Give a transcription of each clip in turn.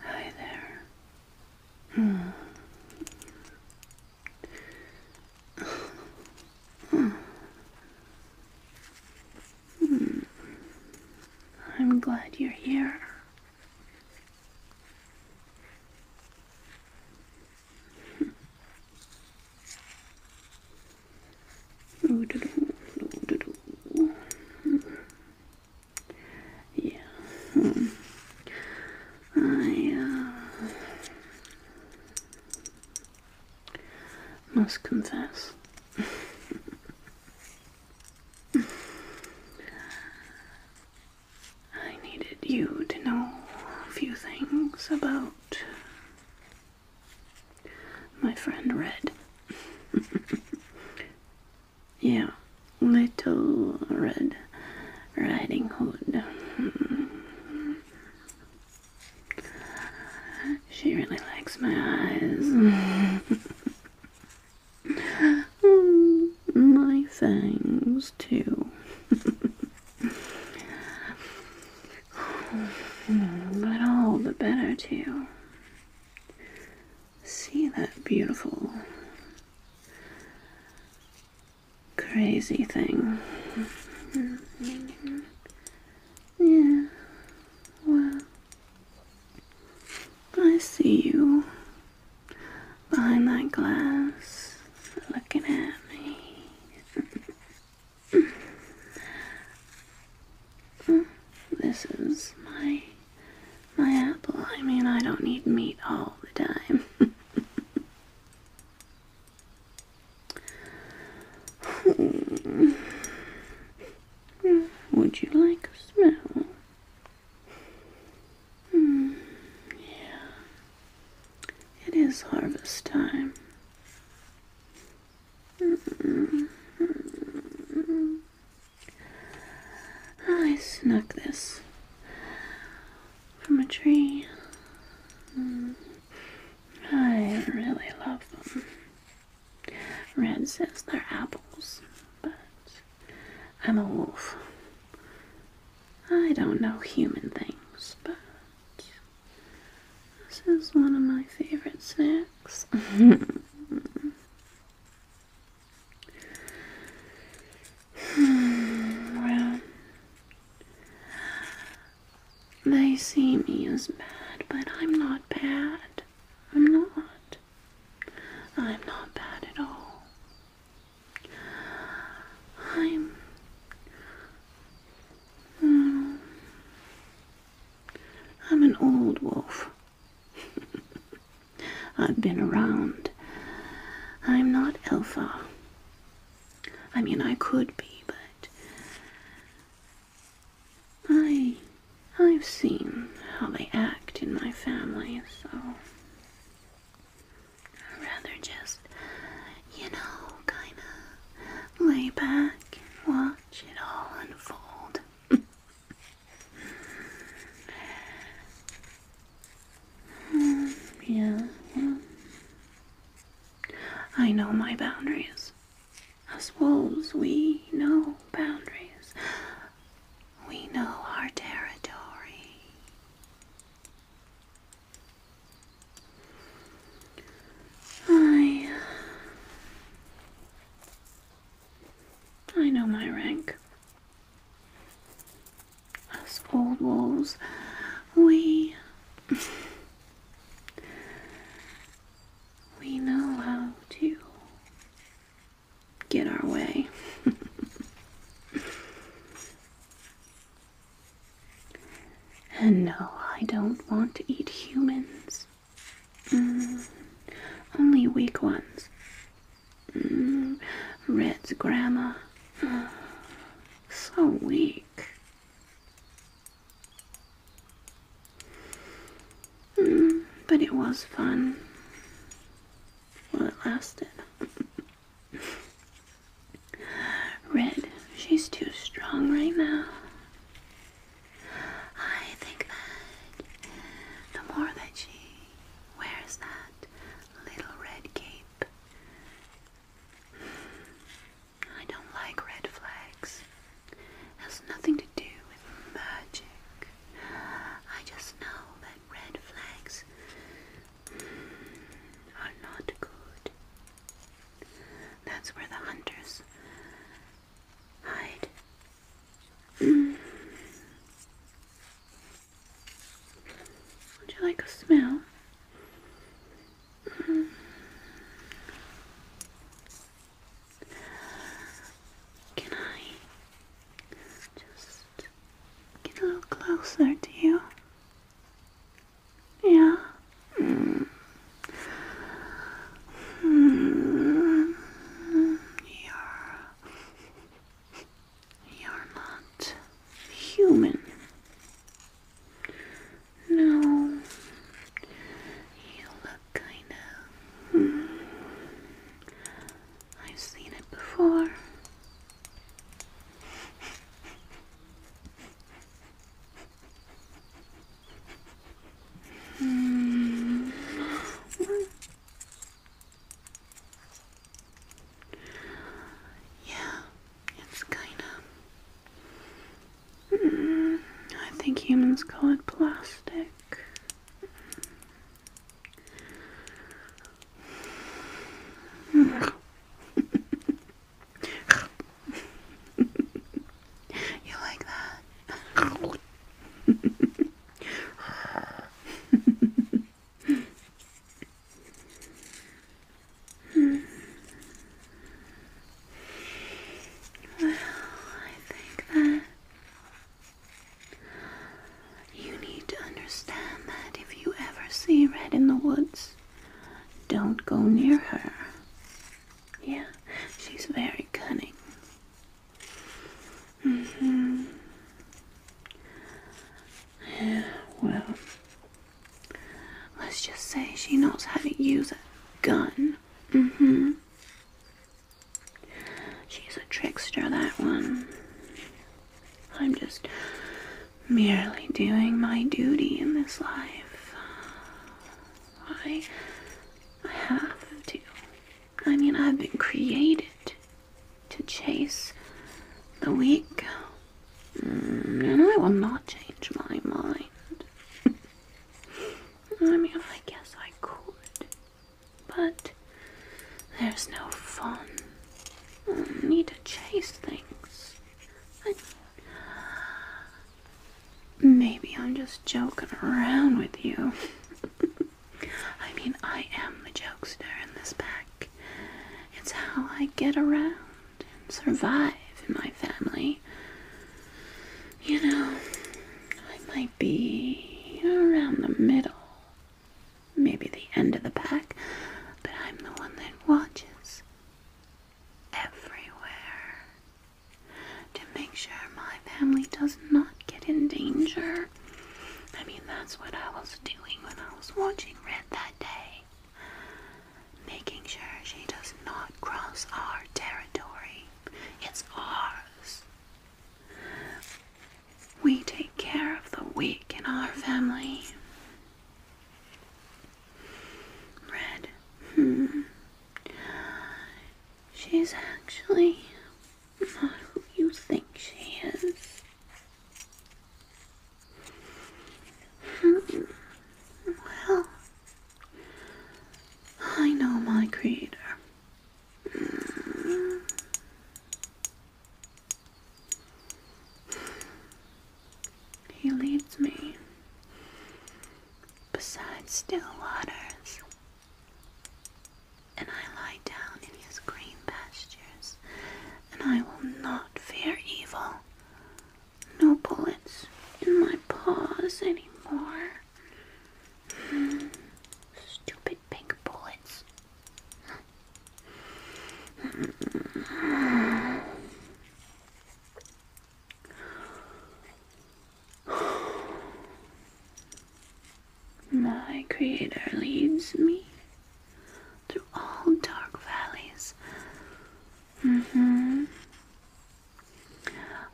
Hi there. Hmm. I'm glad you're here. Yeah. Hmm. I uh, must confess. I needed you to know a few things about my friend Red. Yeah, Little Red Riding Hood. She really likes my eyes. my things too. but all the better, too. See that beautiful, crazy thing. Yeah, well, I see you behind that glass looking at me. this is my my apple. I mean, I don't need meat all the time. Would you like a smell? Hmm, yeah, it is harvest time. Hmm. I snuck this from a tree. Hmm. I really love them. Red says they're apples, but I'm a wolf. I don't know human things, but this is one of my favorite snacks. Hmm, well, they see me as bad, but I'm not bad. I'm not. I'm not bad at all. I'm. Um, I'm an old wolf. I've been around. I'm not Elfa. I mean, I could be, but I I've seen how they act in my family, so I'd rather just, you know, kind of lay back and watch it all unfold. Mm, yeah, I know my boundaries. As wolves, we know boundaries. We know our territory. I I know my rank. As old wolves, we. we know how to get our way. and no, I don't want to eat humans. Mm. only weak ones. Mm. Red's grandma, so weak. Mm, but it was fun. while it lasted. Red, she's too strong right now. I think that the more that she wears that little red cape, I don't like red flags. has nothing to do with magic. I just know that red flags are not good. That's where the hunters hide would you like a smell? Can I just get a little closer to you? Yeah. Mm. Hmm. You're, you're not human. No, you look kinda. Hmm. I've seen it before. Hmm. Yeah, it's kinda. Hmm, I think humans call it plastic. You like that? hmm. Well, I think that you need to understand that if you ever see Red in the woods, don't go near her. Yeah, she's very cunning. Mm hmm Yeah, well, let's just say she knows how to use a gun. Mm hmm She's a trickster, that one. I'm just merely doing my duty in this life. I I have to. I mean, I've been created to chase the weak. Mm, and I will not change my mind. I mean, I guess I could. But there's no fun. I need to chase things. Maybe I'm just joking around with you. I mean, I am the jokester in this pack. It's how I get around and survive in my family. You know, I might be around the middle, maybe the end of the pack, but I'm the one that watches everywhere to make sure my family does not get in danger. I mean, that's what I was doing when I was watching Red that day. Making sure she does not cross our territory. It's ours. We take care of the weak in our family. Red, hmm, She's actually not who you think she is. Hmm. Well, I know my creator. Hmm. He leads me Besides still waters, and I lie down in his green pastures, and I will not fear evil. No bullets in my paws anymore. Hmm, stupid pink bullets. Hmm. My Creator leads me through all dark valleys. Mm-hmm.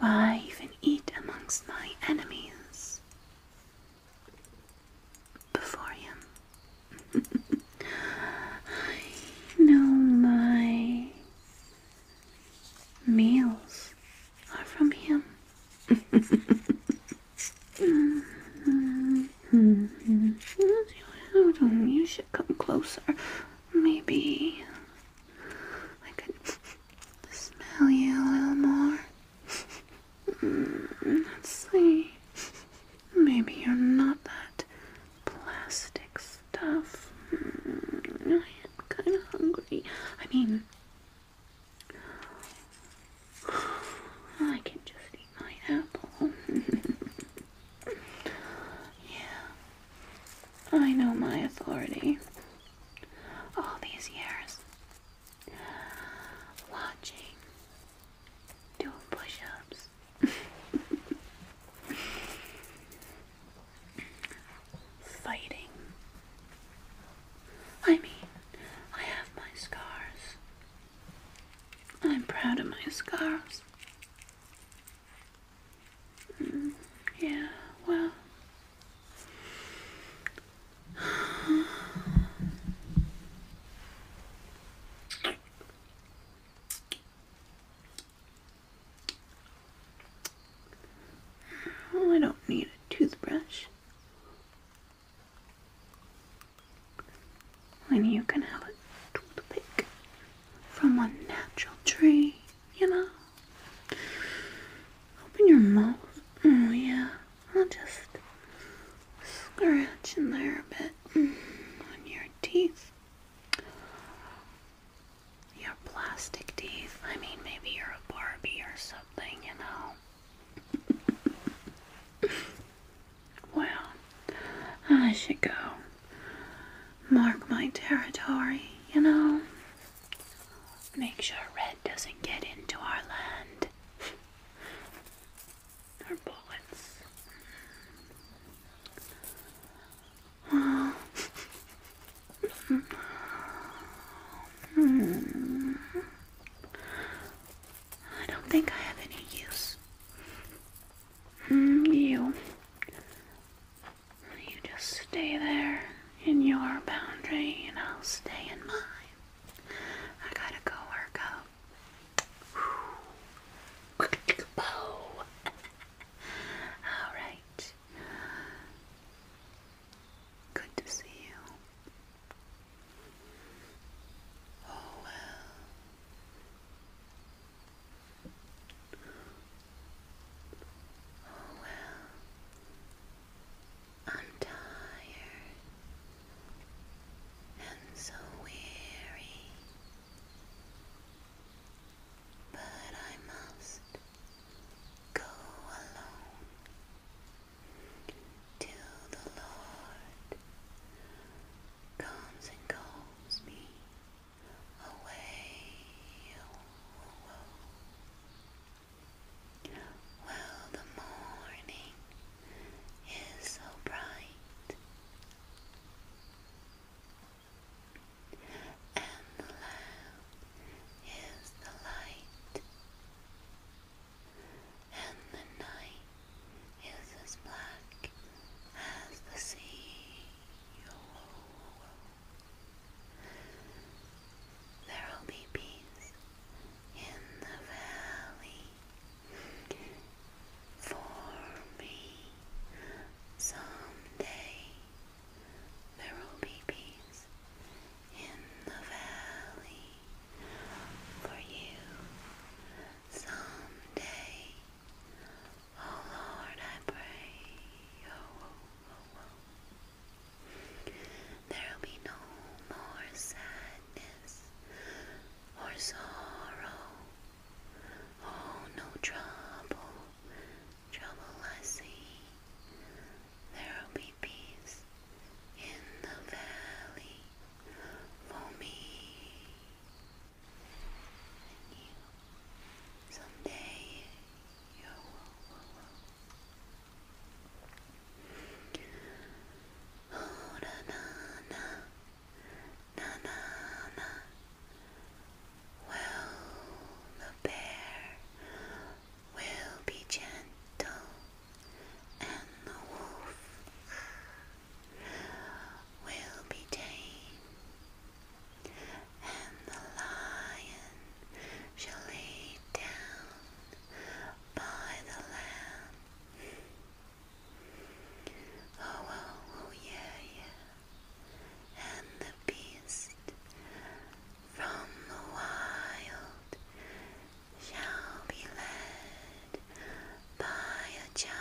I even eat amongst my enemies before him? I my meals are from him. Mm-hmm. you should come closer. Maybe I could smell you a little more. Mm, let's see. Maybe you're not that plastics stuff. Mm, I'm kind of hungry. I mean, I can just eat my apple. yeah, I know my authority. All these years watching, doing push ups. fighting. I mean, I have my scars. I'm proud of my scars. Mm, yeah, well. Well, I don't need a toothbrush. And you can have a toothpick from a natural tree, you know. Open your mouth. Oh, yeah. I'll just scratch in there a bit mm, on your teeth. Your plastic teeth. I mean, maybe you're a Barbie or something, you know. well, I should go mark my territory, you know. Make sure Red doesn't get into our land. Her bullets. I don't think I have any use. Mm, you. You just stay there in your boundary and I'll stay in mine. I gotta go work out. Whew. Bow. All right. Good to see you. Oh well. Oh well. I'm tired and so weary but I must go alone till the Lord comes and calls me away. Well, the morning is so bright and low is the light, and the night is as black as the sea. There will be peace in the valley, for me. Someday there will be peace in the valley for you. Someday, oh Lord, I pray. Oh, oh, oh, oh. There'll be no more sadness or sorrow Oh, no trouble, trouble I see. There'll be peace in the valley for me. And you, someday you will. will, will. Oh, na na na. Nanana. Well, the bear will be gentle, and the wolf will be tame, and the lion shall lay down by the lamb. Oh, oh, oh, yeah, yeah. And the beast from the wild shall be led by a child,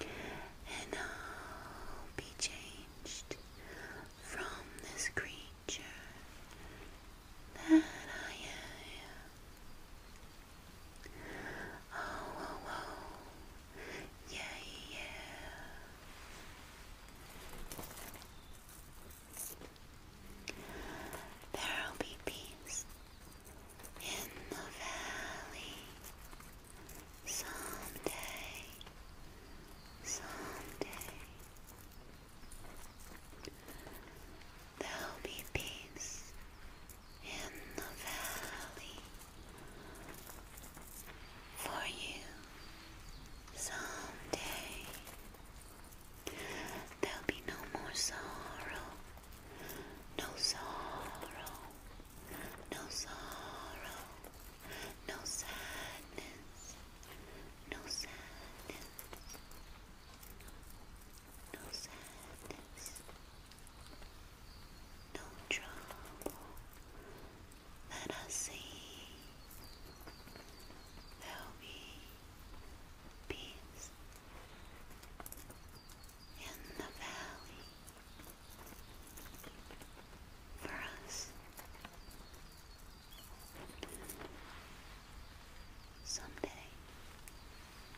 and I'll be changed from this creature that I am. Oh, oh, oh. Yeah, yeah. There'll be peace in the valley someday, someday. There'll be peace in the valley for you someday. There'll be no more sorrow, no sorrow, no sorrow, no sadness, no sadness no sadness, no trouble that I see. There'll be peace in the valley for us. Someday,